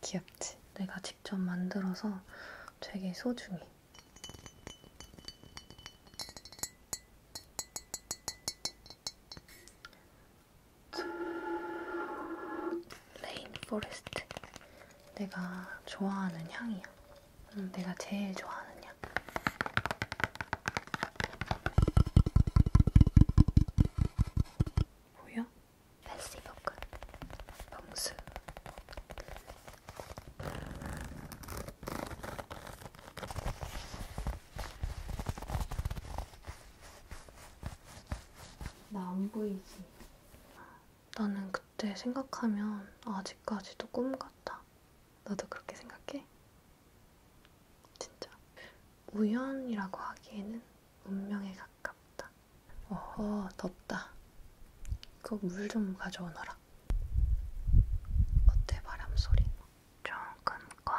귀엽지? 내가 직접 만들어서 되게 소중해. 레인포레스트. 내가 좋아하는 향이야. 응, 내가 제일 좋아하는 향. 보여? 패시브꾼 봉수 나 안 보이지? 나는 그때 생각하면 아직까지도 꿈 같아. 너도 그렇게 생각해? 진짜. 우연이라고 하기에는 운명에 가깝다. 어허, 덥다. 꼭물좀 가져오너라. 어때, 바람 소리? 좀 끊고.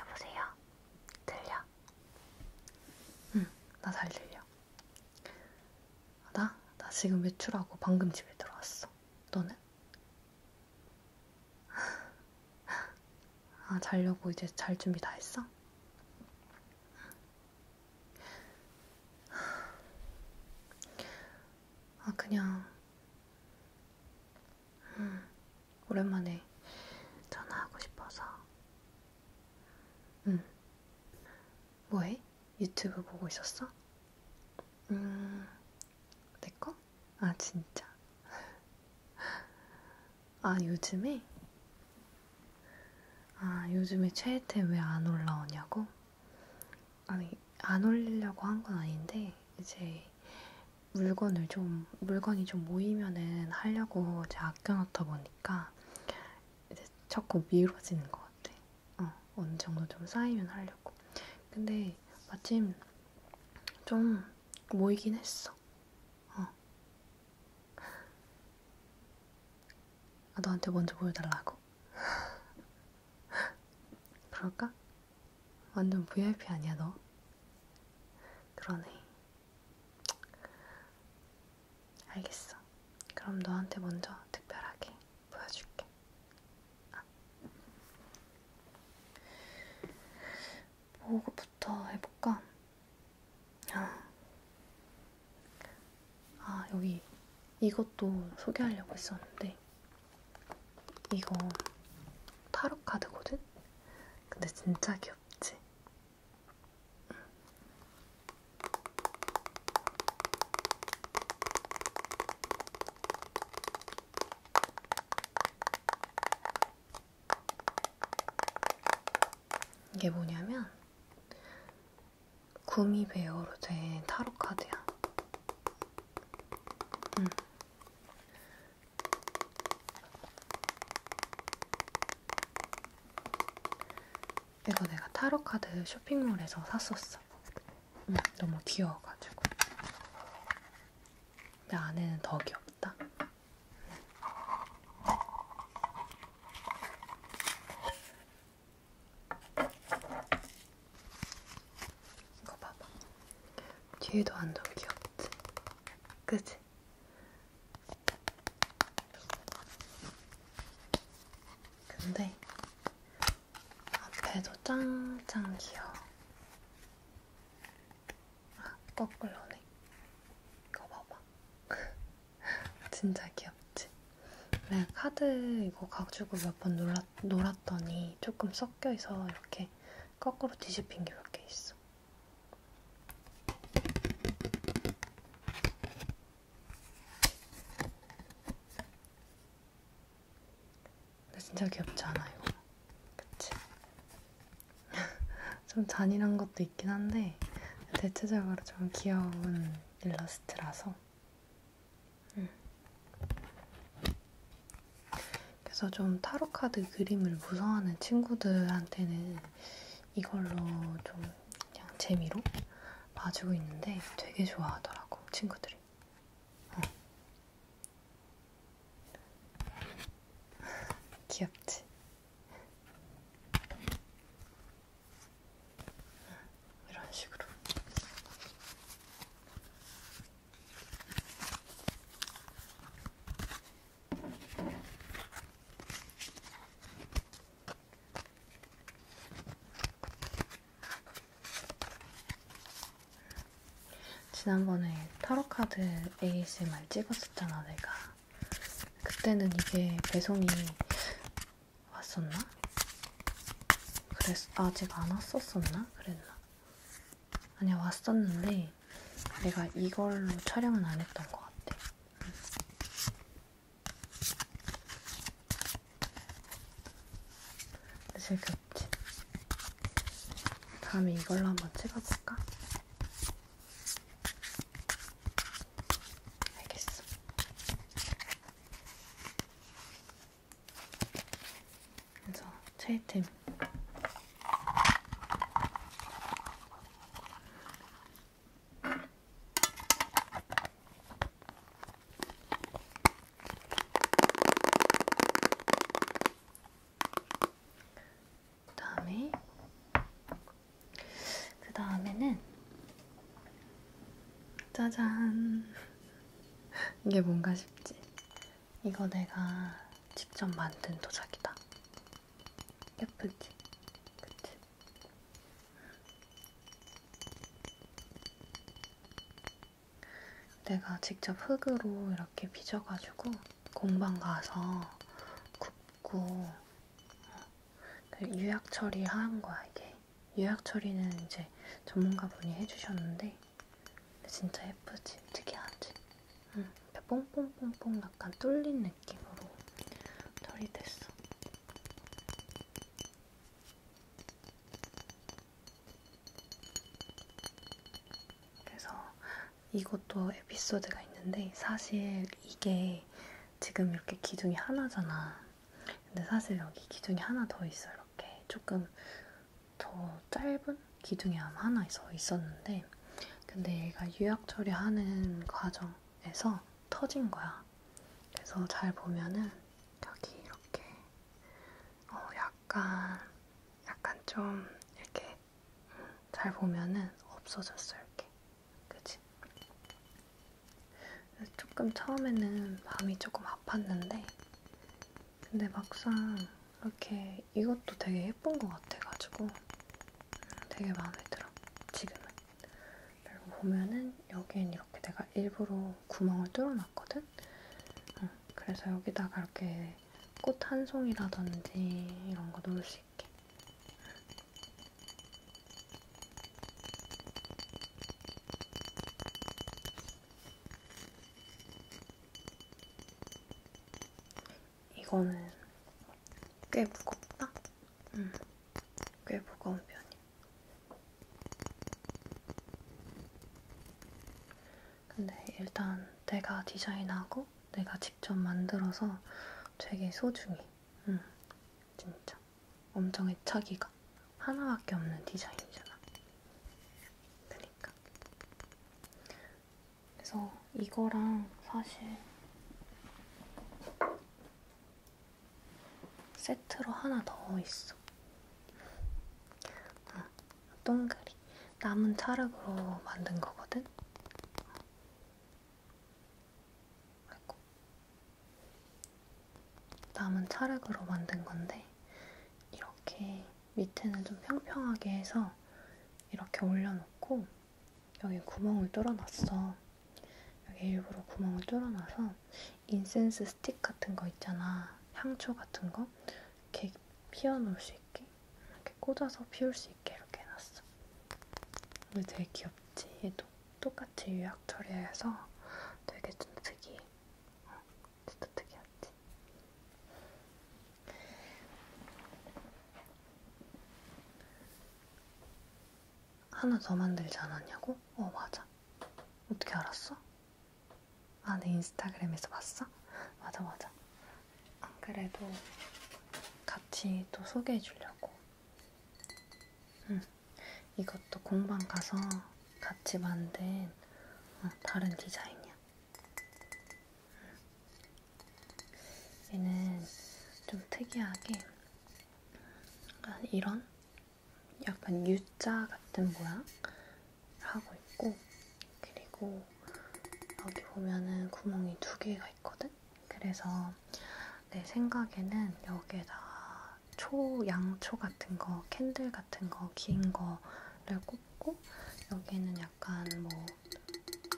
여보세요? 들려? 응, 나 잘 들려. 나? 나 지금 외출하고 방금 집에 들어왔어. 너는? 아, 자려고 이제 잘 준비 다 했어? 아, 그냥. 음, 오랜만에 전화하고 싶어서. 응. 음. 뭐해? 유튜브 보고 있었어? 음, 내 거? 아, 진짜. 아, 요즘에? 아, 요즘에 최애태 왜안 올라오냐고? 아니, 안 올리려고 한 건 아닌데, 이제 물건을 좀, 물건이 좀 모이면은 하려고 제가 아껴놨다 보니까, 이제 자꾸 미뤄지는 것 같아. 어, 어느 정도 좀 쌓이면 하려고. 근데 마침 좀 모이긴 했어. 어. 아, 너한테 먼저 보여달라고? 그럴까? 완전 VIP 아니야, 너? 그러네. 알겠어. 그럼 너한테 먼저 특별하게 보여줄게. 아. 뭐부터 해볼까? 아. 아, 여기 이것도 소개하려고 했었는데, 이거 타로 카드거든? 근데 진짜 귀엽지? 이게 뭐냐면 구미 베어로 된 타로 카드야. 음. 이거 내가 타로 카드 쇼핑몰에서 샀었어. 음, 너무 귀여워가지고. 근데 안에는 더 귀엽다. 이거 봐봐. 뒤에도 완전 귀엽지? 그지? 근데 앞에도 짱짱 귀여워. 아, 떡글러네. 이거 봐봐. 진짜 귀엽지? 내가 네, 카드 이거 가지고 몇 번 놀았, 놀았더니 조금 섞여있어 이렇게 거꾸로 뒤집힌 게 몇 개 있어. 근데 진짜 귀엽지 않아 이거? 그치? 좀 잔인한 것도 있긴 한데 대체적으로 좀 귀여운 일러스트라서 음. 그래서 좀 타로카드 그림을 무서워하는 친구들한테는 이걸로 좀 그냥 재미로 봐주고 있는데 되게 좋아하더라고 친구들이 어. 귀엽지? 이런 식으로. 지난번에 타로카드 ASMR 찍었었잖아, 내가. 그때는 이게 배송이 왔었나? 그랬, 아직 안 왔었었나? 그랬나? 아니야, 왔었는데, 내가 이걸로 촬영은 안 했던 것 같아. 늦을 게 없지. 다음에 이걸로 한번 찍어볼까? 알겠어. 그래서 최애템. 그다음에 그 다음에는 짜잔 이게 뭔가 싶지? 이거 내가 직접 만든 도자기다. 예쁘지? 그치? 내가 직접 흙으로 이렇게 빚어가지고 공방 가서 굽고 어, 유약 처리한 거야 이게. 유약 처리는 이제 전문가분이 해주셨는데 진짜 예쁘지? 특이하지? 응, 뽕뽕뽕뽕 약간 뚫린 느낌으로 처리됐어. 그래서 이것도 에피소드가 있는데 사실 이게 지금 이렇게 기둥이 하나잖아. 근데 사실 여기 기둥이 하나 더 있어. 이렇게 조금 더 짧은 기둥이 하나 더 있었는데 근데 얘가 유약 처리하는 과정에서 터진 거야. 그래서 잘 보면은 여기 이렇게 어 약간 약간 좀 이렇게 음, 잘 보면은 없어졌어 이렇게 그치? 조금 처음에는 마음이 조금 아팠는데 근데 막상 이렇게 이것도 되게 예쁜 것 같아가지고 음, 되게 마음에 들어 지금은 그리고 보면은 여기엔 이렇게 내가 일부러 구멍을 뚫어놨거든? 응, 음, 그래서 여기다가 이렇게 꽃한 송이라든지 이런 거 놓을 수 있게. 이거는 꽤 무겁다? 응, 꽤 무거운 편이야. 근데 일단 내가 디자인하고 내가 직접 만들어서 되게 소중해. 응, 음, 진짜. 엄청 애착이가 하나밖에 없는 디자인이잖아. 그니까. 그래서 이거랑 사실 세트로 하나 더 있어. 응. 동그리 남은 차흙으로 만든 거거든. 아이고. 남은 차흙으로 만든 건데 이렇게 밑에는 좀 평평하게 해서 이렇게 올려놓고 여기 구멍을 뚫어놨어. 여기 일부러 구멍을 뚫어놔서 인센스 스틱 같은 거 있잖아. 향초 같은 거 이렇게 피워놓을 수 있게 이렇게 꽂아서 피울 수 있게 이렇게 해놨어. 이거 되게 귀엽지? 얘도 똑같이 유약 처리해서 되게 좀 특이해. 어, 진짜 특이하지? 하나 더 만들지 않았냐고? 어, 맞아. 어떻게 알았어? 아, 내 인스타그램에서 봤어? 맞아, 맞아. 안 그래도 같이 또 소개해 주려고. 응. 이것도 공방 가서 같이 만든 어, 다른 디자인이야. 응. 얘는 좀 특이하게 이런 약간 U자 같은 모양? 하고 있고, 그리고 여기 보면은 구멍이 두 개가 있거든? 그래서 내 생각에는 여기에다 초, 양초 같은 거, 캔들 같은 거, 긴 거를 꽂고, 여기에는 약간 뭐,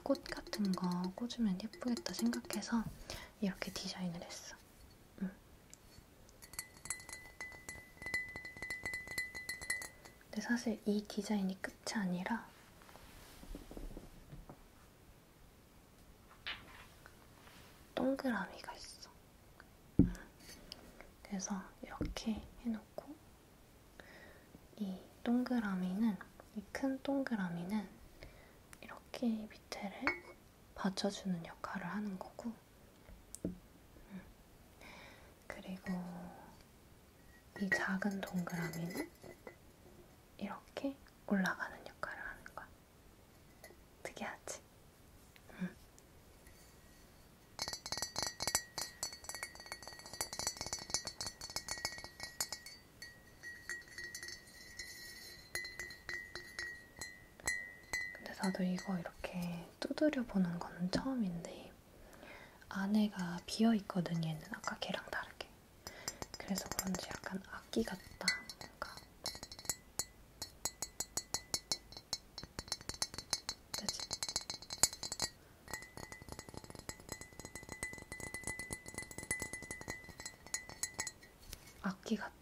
꽃 같은 거 꽂으면 예쁘겠다 생각해서 이렇게 디자인을 했어. 응. 근데 사실 이 디자인이 끝이 아니라 동그라미가 있어. 그래서 이렇게 해놓고 이 동그라미는 이 큰 동그라미는 이렇게 밑에를 받쳐주는 역할을 하는 거고 음. 그리고 이 작은 동그라미는 이렇게 올라가는 역할을 하는 거야. 특이하지? 응. 근데 나도 이거 이렇게 두드려 보는 건 처음인데 느낌. 안에가 비어 있거든 얘는 아까 걔랑 다르게. 그래서 그런지 약간 악기 같다. 뭔가. 그지? 악기 같아.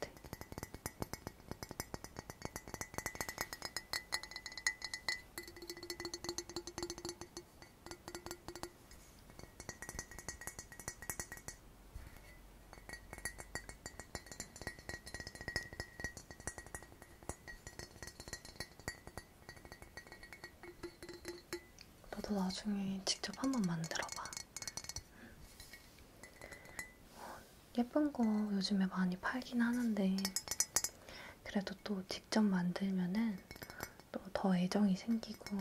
너도 나중에 직접 한번 만들어봐. 예쁜 거 요즘에 많이 팔긴 하는데 그래도 또 직접 만들면은 또 더 애정이 생기고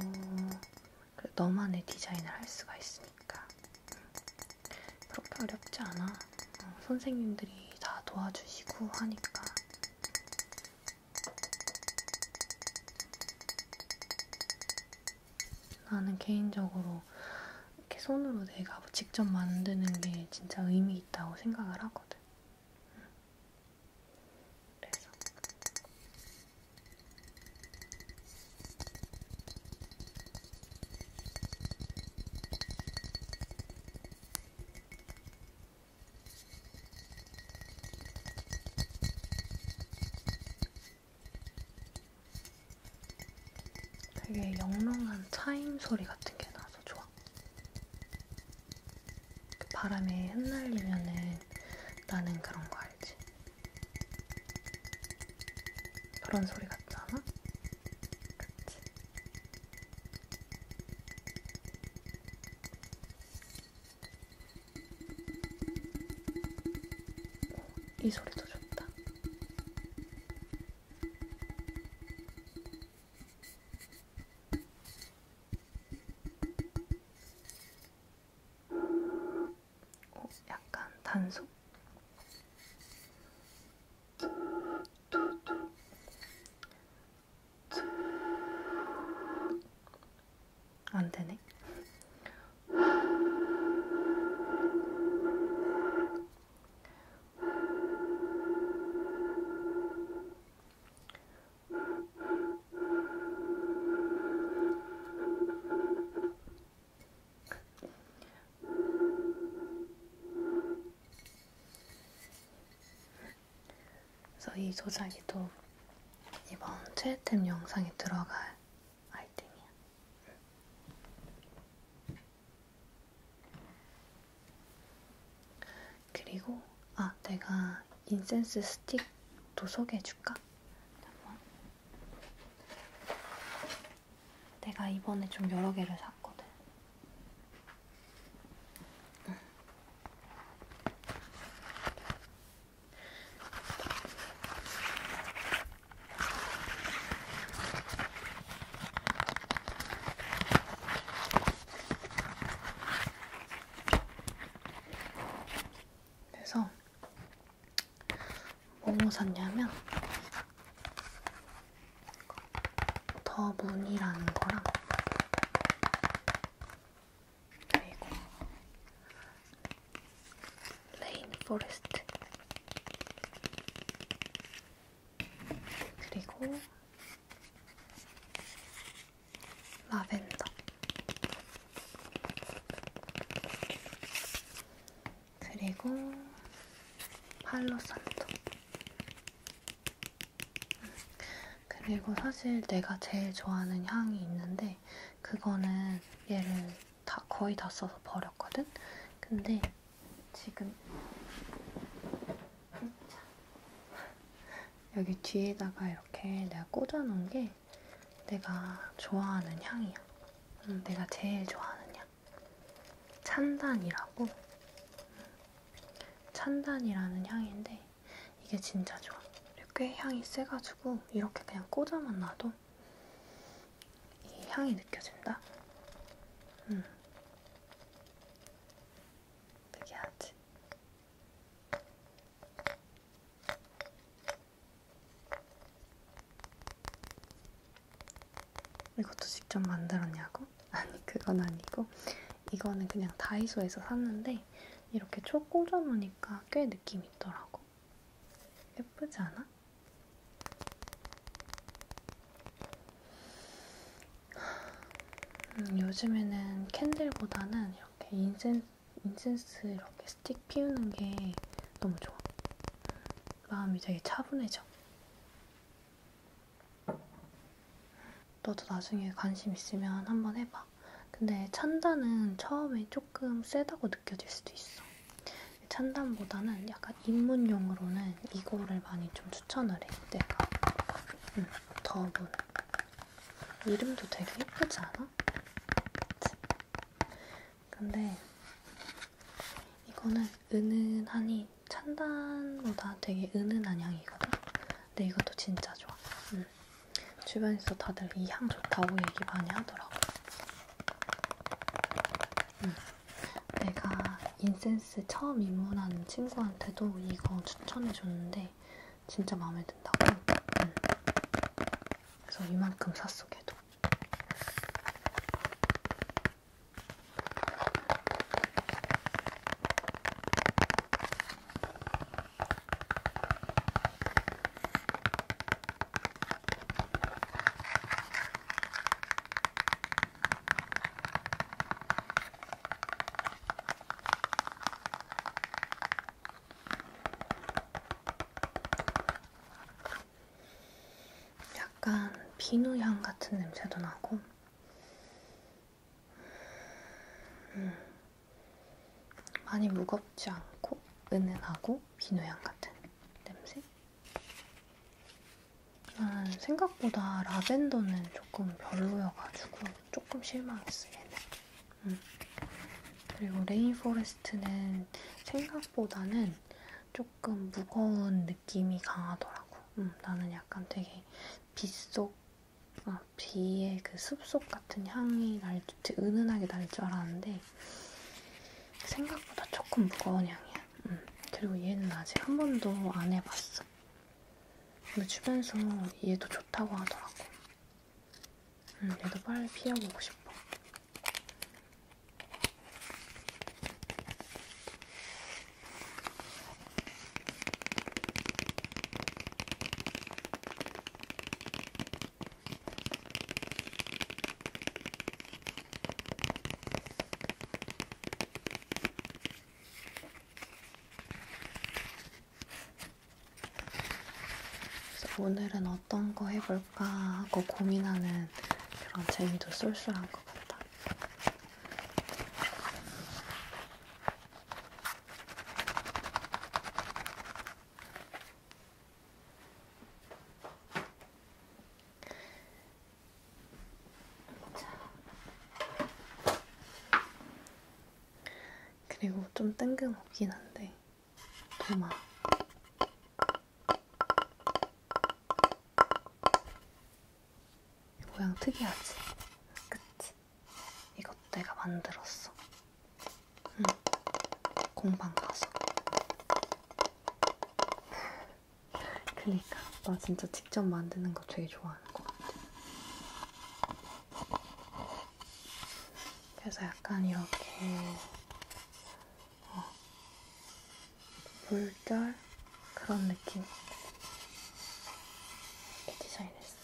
너만의 디자인을 할 수가 있으니까 음, 그렇게 어렵지 않아. 어, 선생님들이 다 도와주시고 하니까. 나는 개인적으로 이렇게 손으로 내가 직접 만드는 게 진짜 의미 분명히 있다고 생각을 하거든. 그래서 되게 영롱한 차임 소리 같은 게 나서 좋아. 그 바람에 흩날리면은 나는 그런 거 알지? 그런 소리 같지 않아? 그치? 이 소리도 좋다. 어, 약간 단속? 안 되네. 그래서 이 조작이 또 이번 최애템 영상에 들어갈 아이템이야. 그리고 아 내가 인센스 스틱도 소개해줄까? 잠깐만. 내가 이번에 좀 여러 개를 샀거든. 응. 그래서 뭐뭐 샀냐면 더 문이라는 거랑 그리고 레인 포레스트 그리고 라벤더. 그리고 팔로산토. 음, 그리고 사실 내가 제일 좋아하는 향이 있는데 그거는 얘를 다 거의 다 써서 버렸거든. 근데 지금 여기 뒤에다가 이렇게 내가 꽂아놓은 게 내가 좋아하는 향이야. 응, 음, 내가 제일 좋아하는 향. 찬단이라고. 찬단이라는 향인데 이게 진짜 좋아. 꽤 향이 세가지고 이렇게 그냥 꽂아만 놔도 이 향이 느껴진다. 음. 특이하지? 이것도 직접 만들었냐고? 아니 그건 아니고 이거는 그냥 다이소에서 샀는데 이렇게 촉 꽂아놓으니까 꽤 느낌 있더라고 예쁘지 않아? 음, 요즘에는 캔들보다는 이렇게 인센스, 인센스 이렇게 스틱 피우는 게 너무 좋아. 마음이 되게 차분해져. 너도 나중에 관심 있으면 한번 해봐. 근데 찬단은 처음에 조금 세다고 느껴질 수도 있어. 찬단보다는 약간 약간 입문용으로는 이거를 많이 좀 추천을 해. 내가 음, 더본 이름도 되게 예쁘지 않아? 그치? 근데 이거는 은은하니 찬단보다 되게 은은한 향이거든. 근데 이것도 진짜 좋아. 음. 주변에서 다들 이 향 좋다고 얘기 많이 하더라고. 음. 내가 인센스 처음 입문한 친구한테도 이거 추천해줬는데 진짜 마음에 든다고 응. 그래서 이만큼 샀어 걔도 약간 비누향 같은 냄새도 나고 음. 많이 무겁지 않고 은은하고 비누향 같은 냄새? 난 생각보다 라벤더는 조금 별로여가지고 조금 실망했어 얘는. 음. 그리고 레인포레스트는 생각보다는 조금 무거운 느낌이 강하더라고. 음, 나는 약간 되게 빗속, 아, 비의 그 숲속 같은 향이 날, 은은하게 날 줄 알았는데 생각보다 조금 무거운 향이야. 음, 그리고 얘는 아직 한 번도 안 해봤어. 근데 주변에서 얘도 좋다고 하더라고. 음, 얘도 빨리 피워보고 싶어. 그래서 오늘은 어떤 거 해볼까 하고 고민하는 그런 재미도 쏠쏠한 것 같다. 그리고 좀 뜬금없긴 한데 도마 모양 특이하지? 그치? 이것 내가 만들었어 응 공방 가서 그니까 나 진짜 직접 만드는 거 되게 좋아하는 것 같아. 그래서 약간 이렇게 어, 물결 그런 느낌 이렇게 디자인했어.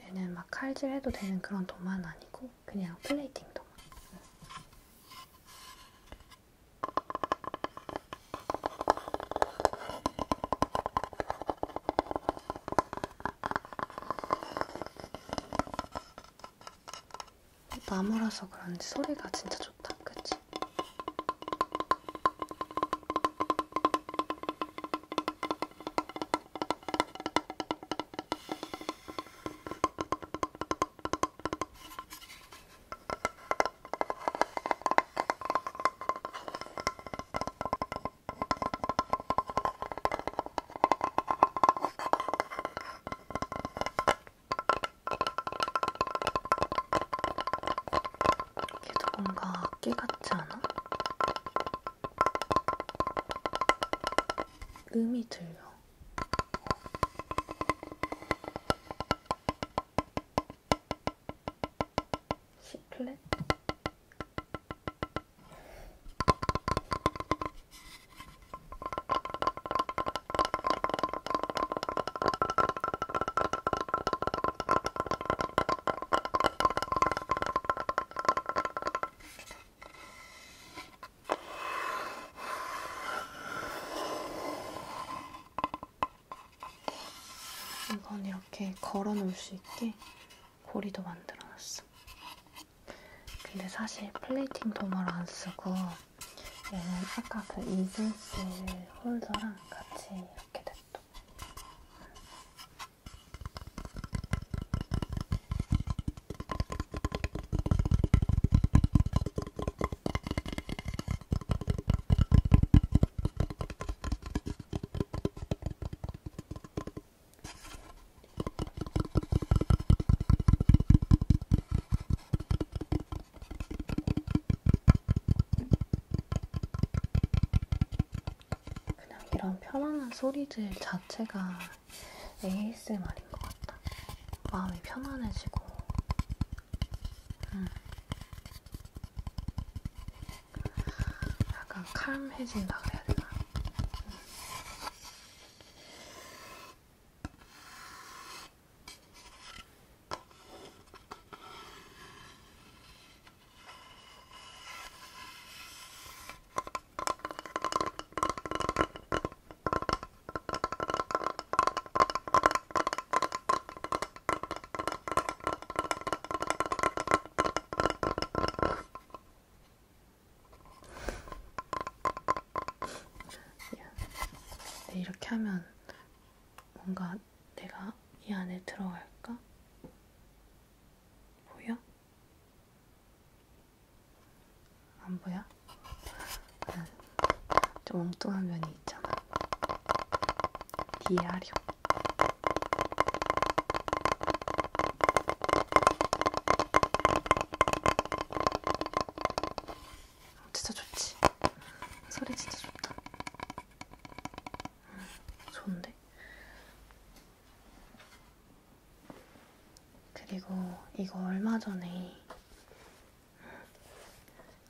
얘는 막 칼질해도 되는 그런 도마는 아니고 그냥 플레이팅 도마. 응. 나무라서 그런지 소리가 진짜 좋다, 그치? 이게 뭔가 깨 같지 않아? 음이 들려. 시플렛 이건 이렇게 걸어 놓을 수 있게 고리도 만들어 놨어. 근데 사실 플레이팅 도마를 안 쓰고 얘는 아까 그 이글스 홀더랑 같이 이렇게 됐어. 그냥 이런 편안한 소리들 자체가 ASMR인 것 같다. 마음이 편안해지고, 음. 약간 칼음해진다 그래야 되나? 음. 네, 이렇게 하면 뭔가 내가 이 안에 들어갈까? 보여? 안 보여? 좀 엉뚱한 면이 있잖아. 이해하렴. 어, 진짜 좋지? 소리 진짜 좋다. 음, 좋은데? 그리고 이거 얼마 전에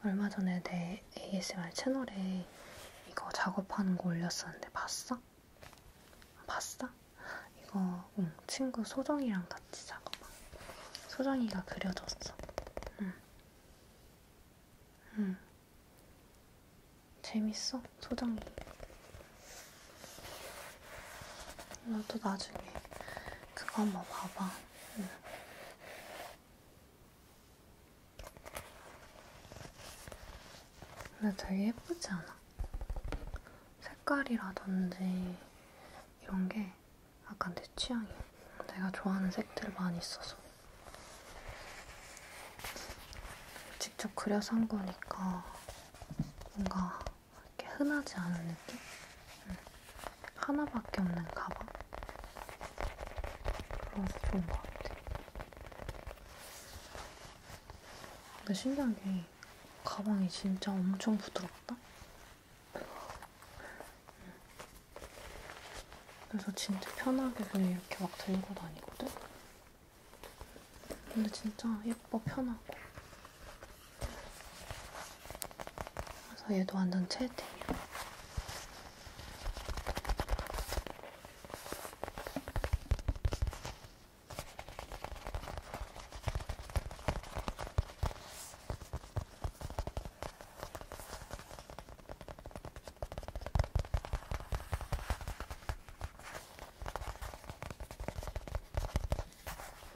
얼마 전에 내 ASMR 채널에 이거 작업하는 거 올렸었는데 봤어? 봤어? 이거 응, 친구 소정이랑 같이 작업한 소정이가 그려줬어 응. 응. 재밌어? 소정이 너도 음, 나중에 그거 한번 봐봐. 응. 음. 근데 되게 예쁘지 않아? 색깔이라든지 이런 게 약간 내 취향이야. 내가 좋아하는 색들 많이 있어서. 직접 그려서 한 거니까 뭔가 이렇게 흔하지 않은 느낌? 응. 하나밖에 없는 가방? 그래서 좋은 것 같아. 근데 신기한 게 가방이 진짜 엄청 부드럽다? 응. 그래서 진짜 편하게 그냥 이렇게 막 들고 다니거든? 근데 진짜 예뻐, 편하고. 그래서 얘도 완전 채팅이야.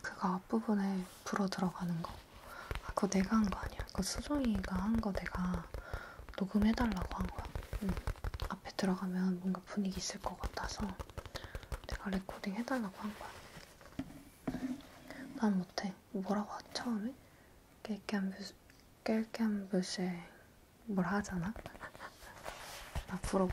그거 앞부분에 불어 들어가는 거. 아, 그거 내가 한 거 아니야. 그거 수정이가 한 거 내가 녹음해달라고 한 거야. 응. 앞에 들어가면 뭔가 분위기 있을 것 같아서 내가 레코딩 해달라고 한 거야. 난 못해. 뭐라고 하지, 처음에? 깰깨한 뷰, 깰깨한 뷰씩 뭘 하잖아? 나 불어 못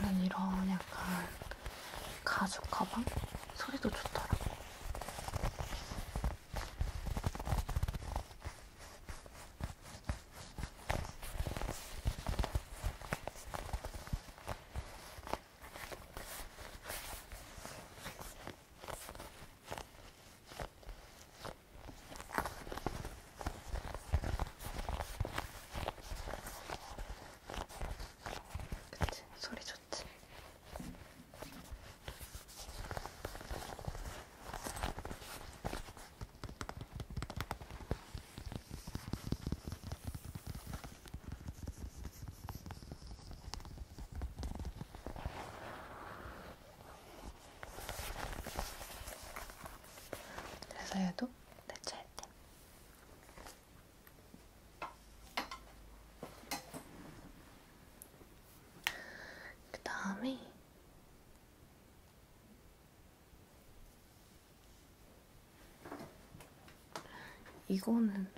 나는 이런 약간 가죽 가방? 소리도 좋더라고. 그치? 소리 좋지. 그래서 얘도 대체 아이템. 그 다음에 이거는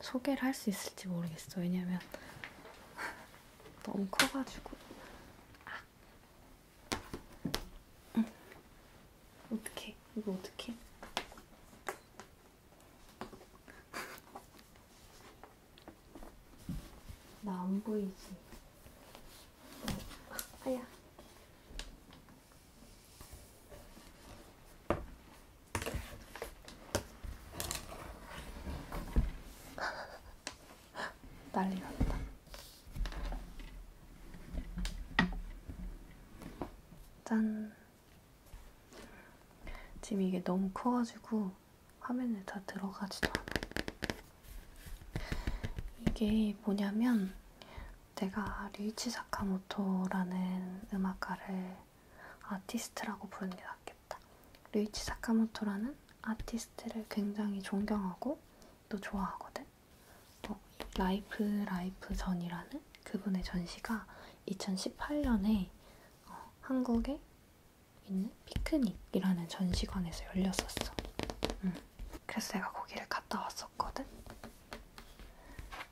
소개를 할 수 있을지 모르겠어. 왜냐면 너무 커가지고. 아. 응. 어떡해. 이거 어떡해. 나안 보이지? 아야. 난리 났다. 짠. 지금 이게 너무 커가지고 화면에 다 들어가지도 않아. 이게 뭐냐면 내가 류이치 사카모토라는 음악가를 아티스트라고 부르는 게 낫겠다. 류이치 사카모토라는 아티스트를 굉장히 존경하고 또 좋아하거든. 어, 라이프 라이프 전이라는 그분의 전시가 2018년에 어, 한국의 있는 피크닉이라는 전시관에서 열렸었어. 응. 그래서 내가 거기를 갔다 왔었거든.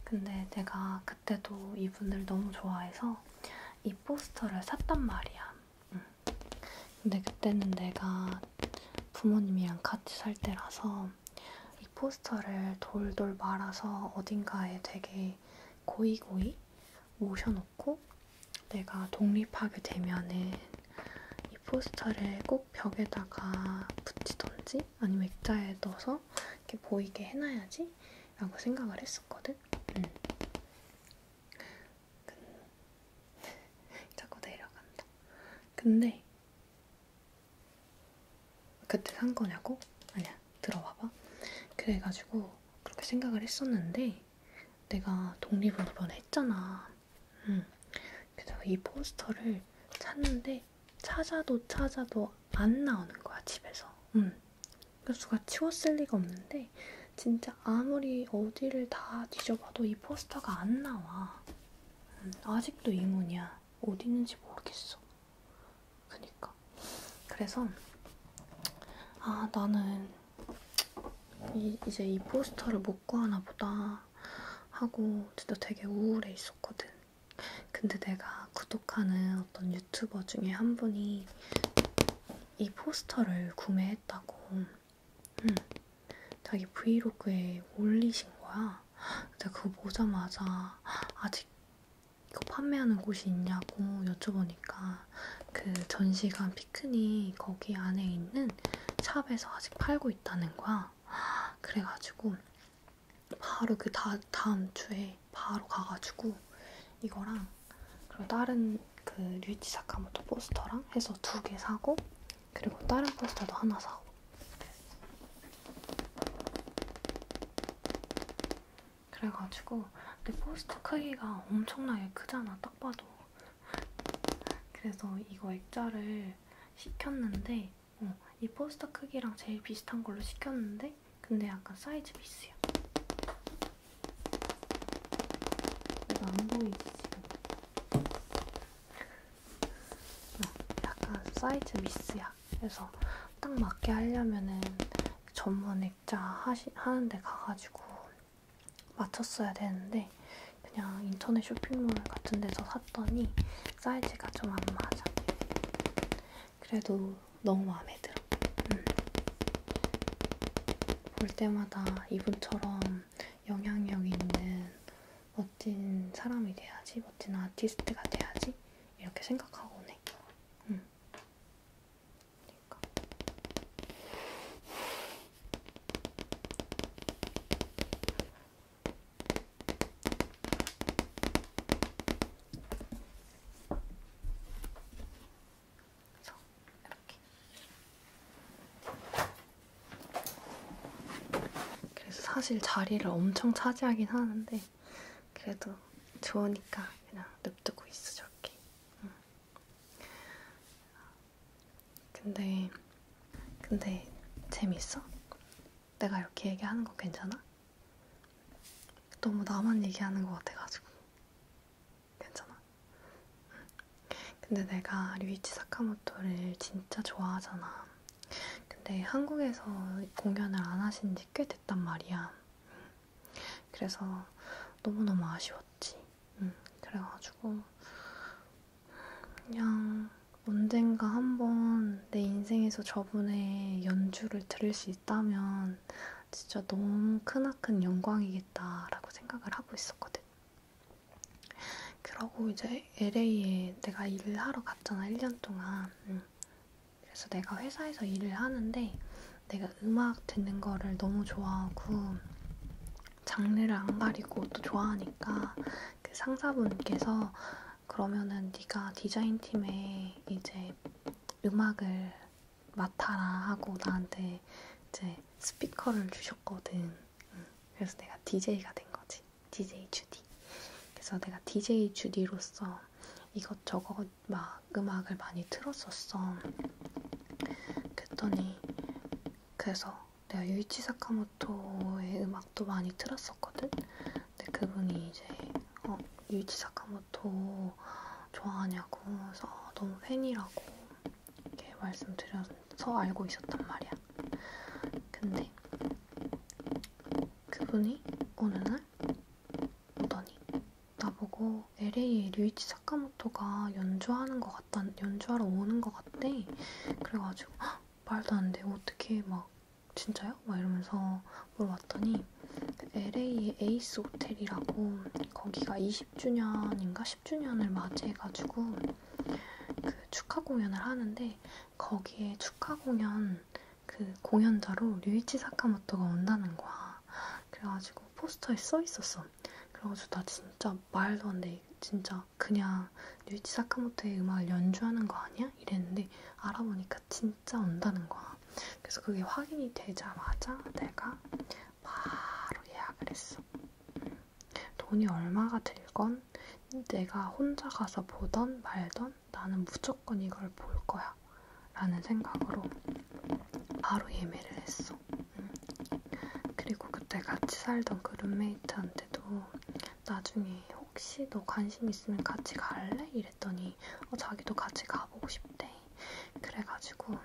근데 내가 그때도 이분을 너무 좋아해서 이 포스터를 샀단 말이야. 응. 근데 그때는 내가 부모님이랑 같이 살 때라서 이 포스터를 돌돌 말아서 어딘가에 되게 고이고이 모셔놓고 붙여놓고 내가 독립하게 되면은 이 포스터를 꼭 벽에다가 붙이던지 아니면 액자에 넣어서 이렇게 보이게 해놔야지 라고 생각을 했었거든. 음. 자꾸 내려간다. 근데 그때 산 거냐고? 아니야, 들어봐봐. 그래가지고 그렇게 생각을 했었는데 내가 독립을 이번에 했잖아. 응. 그래서 이 포스터를 찾는데 찾아도 찾아도 안 나오는 거야 집에서. 응. 교수가 치웠을 리가 없는데 진짜 아무리 어디를 다 뒤져봐도 이 포스터가 안 나와. 응. 아직도 의문이야. 어디 있는지 모르겠어. 그니까. 그래서, 아, 나는 이, 이제 이 포스터를 못 구하나 보다 하고 진짜 되게 우울해 있었거든. 근데 내가 구독하는 어떤 유튜버 중에 한 분이 이 포스터를 구매했다고 응. 음, 자기 브이로그에 올리신 거야. 내가 그거 보자마자 아직 이거 판매하는 곳이 있냐고 여쭤보니까 그 전시관 피크닉 거기 안에 있는 샵에서 아직 팔고 있다는 거야. 그래가지고 바로 그 다, 다음 주에 바로 가가지고 이거랑 그리고 다른 그 류이치 사카모토 포스터랑 해서 두 개 사고 그리고 다른 포스터도 하나 사고 그래가지고 근데 포스트 크기가 엄청나게 크잖아 딱 봐도 그래서 이거 액자를 시켰는데 어, 이 포스터 크기랑 제일 비슷한 걸로 시켰는데 근데 약간 사이즈 미스야 내가 안 보이지 지금 어, 약간 사이즈 미스야 그래서 딱 맞게 하려면은 전문 액자 하시, 하는데 가가지고 맞췄어야 되는데 그냥 인터넷 쇼핑몰 같은 데서 샀더니 사이즈가 좀 안 맞아. 그래도 너무 마음에 들어. 음. 볼 때마다 이분처럼 영향력 있는 멋진 사람이 돼야지, 멋진 아티스트가 돼야지 이렇게 생각하고 네. 음. 그러니까. 그래서 이렇게. 그래서 사실 자리를 엄청 차지하긴 하는데 했는데 그래도 좋으니까 그냥 냅두고 있어 저렇게. 응. 근데 근데 재밌어? 내가 이렇게 얘기하는 거 괜찮아? 너무 나만 얘기하는 것 같아가지고 괜찮아? 근데 내가 류이치 사카모토를 진짜 좋아하잖아 근데 한국에서 공연을 안 하신 지 꽤 됐단 말이야 그래서 너무너무 아쉬웠지. 응. 음, 그래가지고 그냥 언젠가 한 번 내 인생에서 저분의 연주를 들을 수 있다면 진짜 너무 크나큰 영광이겠다라고 생각을 하고 있었거든. 그러고 이제 LA에 내가 일을 하러 갔잖아, 1년 동안. 응. 음. 그래서 내가 회사에서 일을 하는데 내가 음악 듣는 거를 너무 좋아하고 장르를 안 가리고 또 좋아하니까 그 상사분께서 그러면은 네가 디자인팀에 이제 음악을 맡아라 하고 나한테 이제 스피커를 주셨거든. 그래서 내가 DJ가 된 거지. DJ 주디. 그래서 내가 DJ 주디로서 이것저것 이것저것 어, 막 음악을 많이 틀었었어. 그랬더니 그래서 내가 유이치 사카모토의 음악도 많이 틀었었거든. 근데 그분이 이제 어, 유이치 사카모토 좋아하냐고 해서 너무 팬이라고 이렇게 말씀드려서 알고 있었단 말이야. 근데 그분이 어느 날 오더니 나보고 LA에 류이치 사카모토가 연주하는 것 같다, 연주하러 오는 것 같대. 그래가지고 헉, 말도 안 돼. 어떻게 막 진짜요? 막 이러면서 물어봤더니 LA의 에이스 호텔이라고 거기가 20주년인가 10주년을 맞이해가지고 그 축하 공연을 하는데 거기에 축하 공연 그 공연자로 류이치 사카모토가 온다는 거야. 그래가지고 포스터에 써있었어. 그래가지고 나 진짜 말도 안 돼. 진짜 그냥 뉴이치 사카모토의 음악을 연주하는 거 아니야? 이랬는데 알아보니까 진짜 온다는 거야. 그래서 그게 확인이 되자마자 내가 바로 예약을 했어. 돈이 얼마가 들건 내가 혼자 가서 보던 말던 되면 나는 무조건 이걸 볼 거야. 라는 생각으로 바로 예매를 했어. 응. 음. 그리고 그때 같이 살던 그 룸메이트한테도 나중에 혹시 너 관심 있으면 같이 갈래? 이랬더니 어, 자기도 같이 가보고 싶대. 그래가지고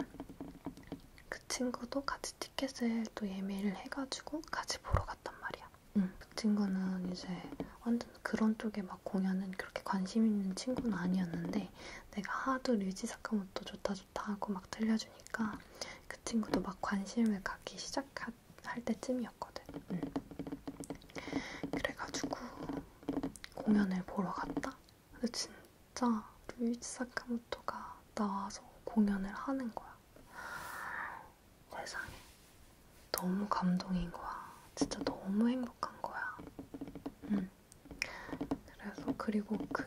그 친구도 같이 티켓을 또 예매를 해가지고 같이 보러 갔단 말이야. 응. 음. 그 친구는 이제 완전 그런 쪽에 막 공연은 그렇게 관심 있는 친구는 아니었는데 내가 하도 류지 사카모토 좋다 좋다 하고 막 들려주니까 그 친구도 막 관심을 갖기 시작할 때쯤이었거든. 응. 그래가지고 공연을 보러 갔다. 근데 진짜 류지 사카모토가 나와서 공연을 하는 거야. 세상에 너무 감동인 거야. 진짜 너무 행복한 거야. 응. 음. 그래서 그리고 그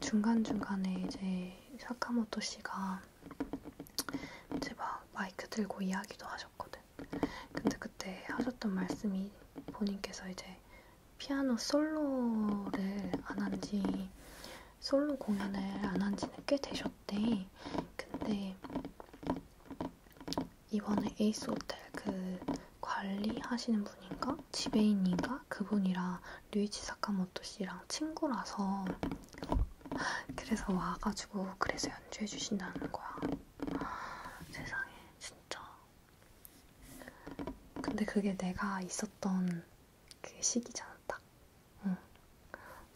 중간중간에 이제 사카모토 씨가 이제 막 마이크 들고 이야기도 하셨거든. 근데 그때 하셨던 말씀이 본인께서 이제 피아노 솔로를 안 한지 솔로 공연을 안 한지는 꽤 되셨대. 근데 이번에 에이스 호텔 그 관리하시는 분인가? 지배인인가? 그분이랑 류이치 사카모토 씨랑 친구라서 그래서 와가지고 그래서 연주해 주신다는 거야. 세상에 진짜. 근데 그게 내가 있었던 그 시기잖아 딱. 응.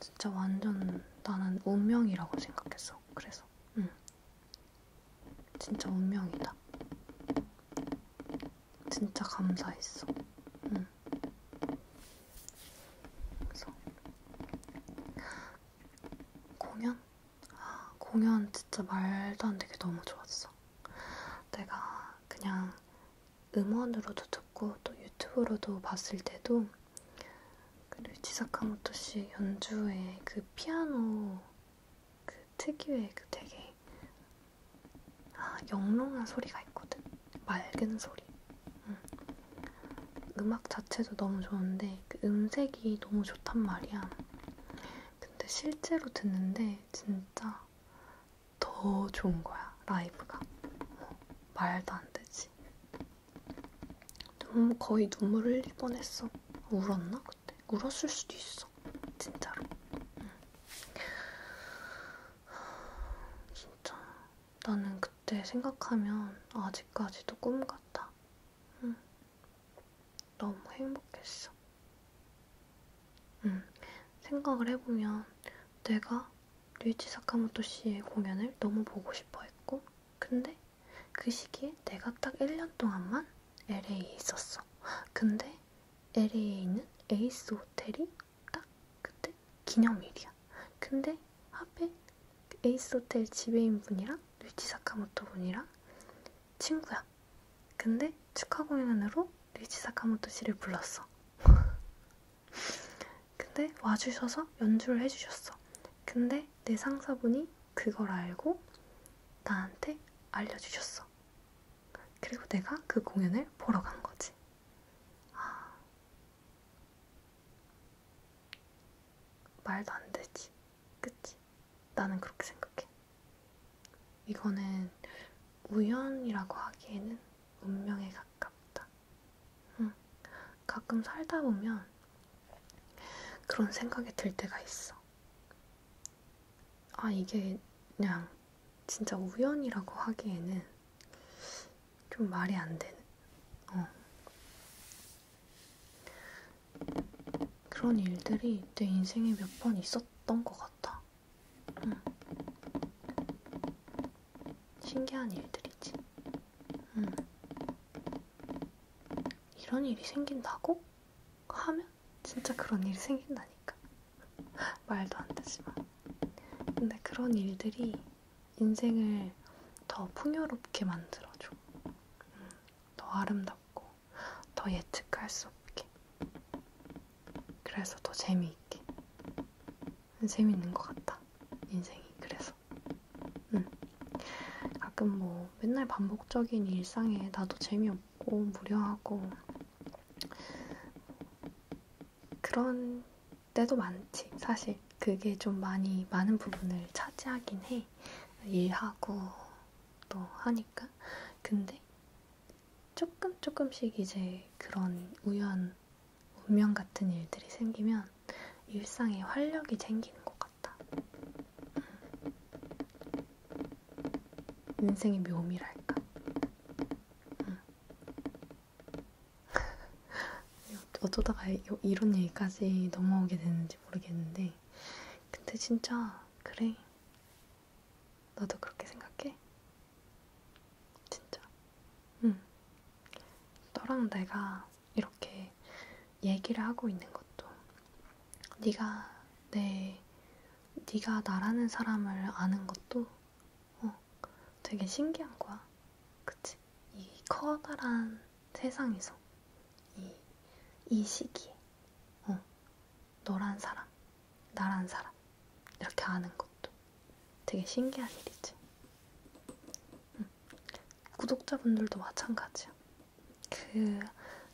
진짜 완전 나는 운명이라고 생각했어. 그래서 응. 진짜 운명이다. 진짜 감사했어. 응. 그래서 공연? 아, 공연 진짜 말도 안 되게 너무 좋았어. 내가 그냥 음원으로도 듣고 또 유튜브로도 봤을 때도 그리고 지사카모토 씨 연주의 그 피아노 그 특유의 그 되게 아, 영롱한 소리가 있거든. 맑은 소리. 응. 음. 음악 자체도 너무 좋은데 그 음색이 너무 좋단 말이야. 근데 실제로 듣는데 진짜 더 좋은 거야 라이브가. 어, 말도 안 되지. 너무 거의 눈물 흘릴 뻔했어. 울었나 그때? 울었을 수도 있어. 진짜로. 응. 진짜 나는 그때 생각하면 아직까지도 꿈 같아. 응. 너무 행복했어. 응. 생각을 해보면 내가 류이치 사카모토 씨의 공연을 너무 보고 싶어 했고 근데 그 시기에 내가 딱 1년 동안만 LA에 있었어. 근데 LA에 있는 에이스 호텔이 딱 그때 기념일이야. 근데 하필 에이스 호텔 지배인 분이랑 류지 사카모토 분이랑 친구야. 근데 축하 공연으로 류지 사카모토 씨를 불렀어. 근데 와주셔서 연주를 해주셨어. 근데 내 상사분이 그걸 알고 나한테 알려주셨어. 그리고 내가 그 공연을 보러 간 거지. 아, 말도 안 되지. 그치? 나는 그렇게 생각해. 이거는 우연이라고 하기에는 운명에 가깝다. 응. 가끔 살다 보면 그런 생각이 들 때가 있어. 아, 이게 그냥 진짜 우연이라고 하기에는 좀 말이 안 되는. 어. 그런 일들이 내 인생에 몇 번 있었던 것 같아. 응. 신기한 일들이지. 응. 이런 일이 생긴다고? 하면 진짜 그런 일이 생긴다니까. 말도 안 되지만. 근데 그런 일들이 인생을 더 풍요롭게 만들어줘. 음, 더 아름답고, 더 예측할 수 없게. 그래서 더 재미있게. 재밌는 것 같다. 인생이. 그래서. 있어. 응. 가끔 뭐 맨날 반복적인 일상에 나도 재미없고 무료하고 그런 때도 많지. 사실 그게 좀 많이 많은 부분을 차지하긴 해. 일하고 또 하니까. 근데 조금 조금씩 이제 그런 우연 운명 같은 일들이 생기면 일상에 활력이 생기는 것 같다. 음. 인생의 묘미랄까? 응. 음. 어쩌다가 이런 얘기까지 넘어오게 되는지 모르겠는데, 근데 진짜, 그래. 나도 그렇게 생각해. 진짜. 응. 음. 너랑 내가 이렇게 얘기를 하고 있는 것도 네가 내 네, 네가 나라는 사람을 아는 것도 어, 되게 신기한 거야. 그치? 이 커다란 세상에서 이, 이 시기에 어, 너란 사람, 나란 사람 이렇게 아는 것도 되게 신기한 일이지. 응. 음. 구독자분들도 마찬가지야. 그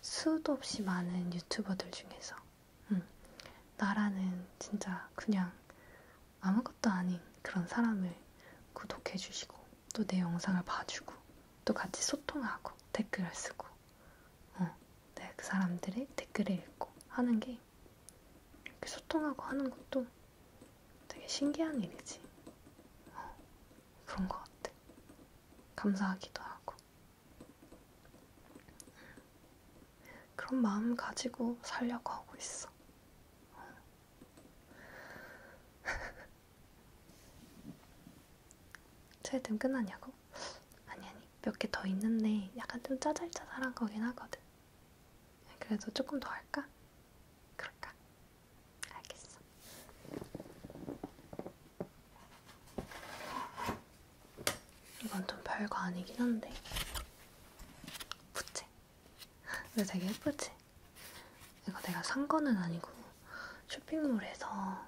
수도 없이 많은 유튜버들 중에서 음, 나라는 진짜 그냥 아무것도 아닌 그런 사람을 구독해주시고 또 내 영상을 봐주고 또 같이 소통하고 댓글을 쓰고 어, 내가 네, 그 사람들의 댓글을 읽고 하는 게 이렇게 소통하고 하는 것도 되게 신기한 일이지. 어, 그런 것 같아. 감사하기도 하고. 그런 마음 가지고 살려고 하고 있어. 최애템 끝났냐고? 아니 아니 몇 개 더 있는데 약간 좀 짜잘짜잘한 거긴 하거든. 그래도 조금 더 할까? 그럴까? 알겠어. 이건 좀 별거 아니긴 한데. 부채. 근데 되게 예쁘지? 이거 내가 산 거는 아니고 쇼핑몰에서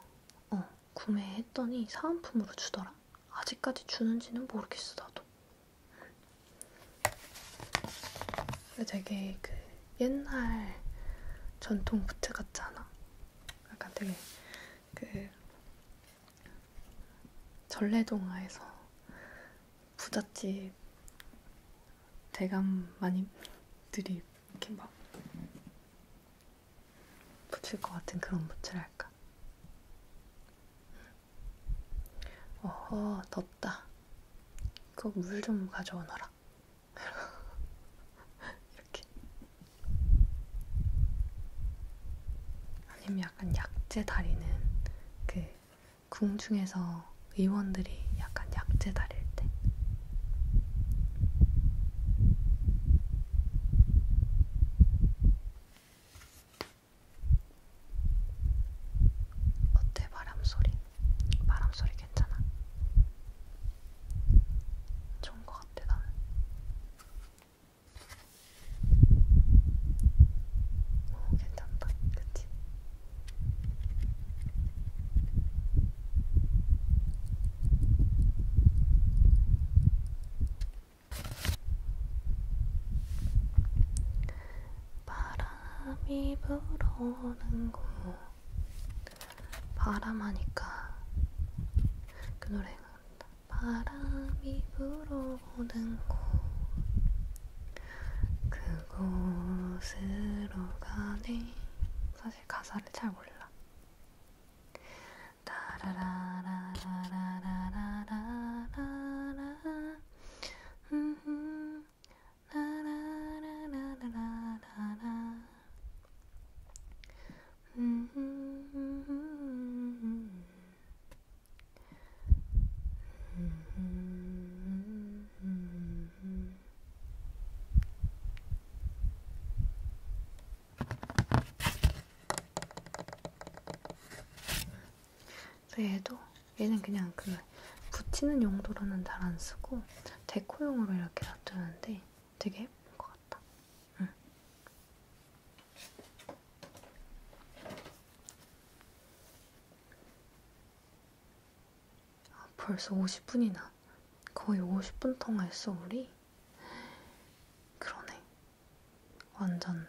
어, 구매했더니 사은품으로 주더라. 아직까지 주는지는 모르겠어, 나도. 근데 되게 그 옛날 전통 부채 같지 않아? 약간 되게 그 전래동화에서 부잣집 대감 마님들이 이렇게 막 붙일 것 같은 그런 부채랄까. 어허 덥다. 그거 물 좀 가져오너라. 해라. 이렇게. 아니면 약간 약재 다리는 그 궁중에서 의원들이 약간 약재 다릴 때. 어때 바람 소리? 바람 소리 괜찮아? 좋은 것 같아 나는. 오 괜찮다, 그치? 바람이 불어오는 곳 바람하니까 그 노래가 온다. 바람이 불어오는 곳 그곳으로 가네 사실 가사를 잘 몰라 따라라라라라라라라라 음또 얘도 얘는 그냥 그 붙이는 용도로는 잘 안 쓰고 데코용으로 이렇게 놔두는데 되게 예쁜 것 같다. 응. 아, 벌써 50분이나 거의 50분 통화했어 우리. 그러네. 완전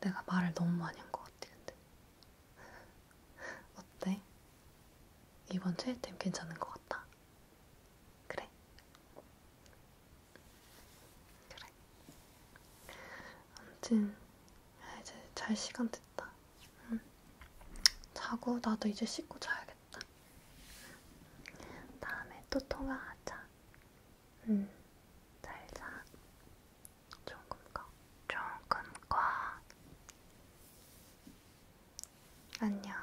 내가 말을 너무 많이 한 것 같아 근데. 어때? 이번 최애템 괜찮은 것 같다. 그래? 그래. 아무튼 아, 이제 잘 시간 됐다. 응? 음. 자고 나도 이제 씻고 자야겠다. 다음에 또 통화하자. 응. 음. 잘 자. 조금과 조금과 안녕.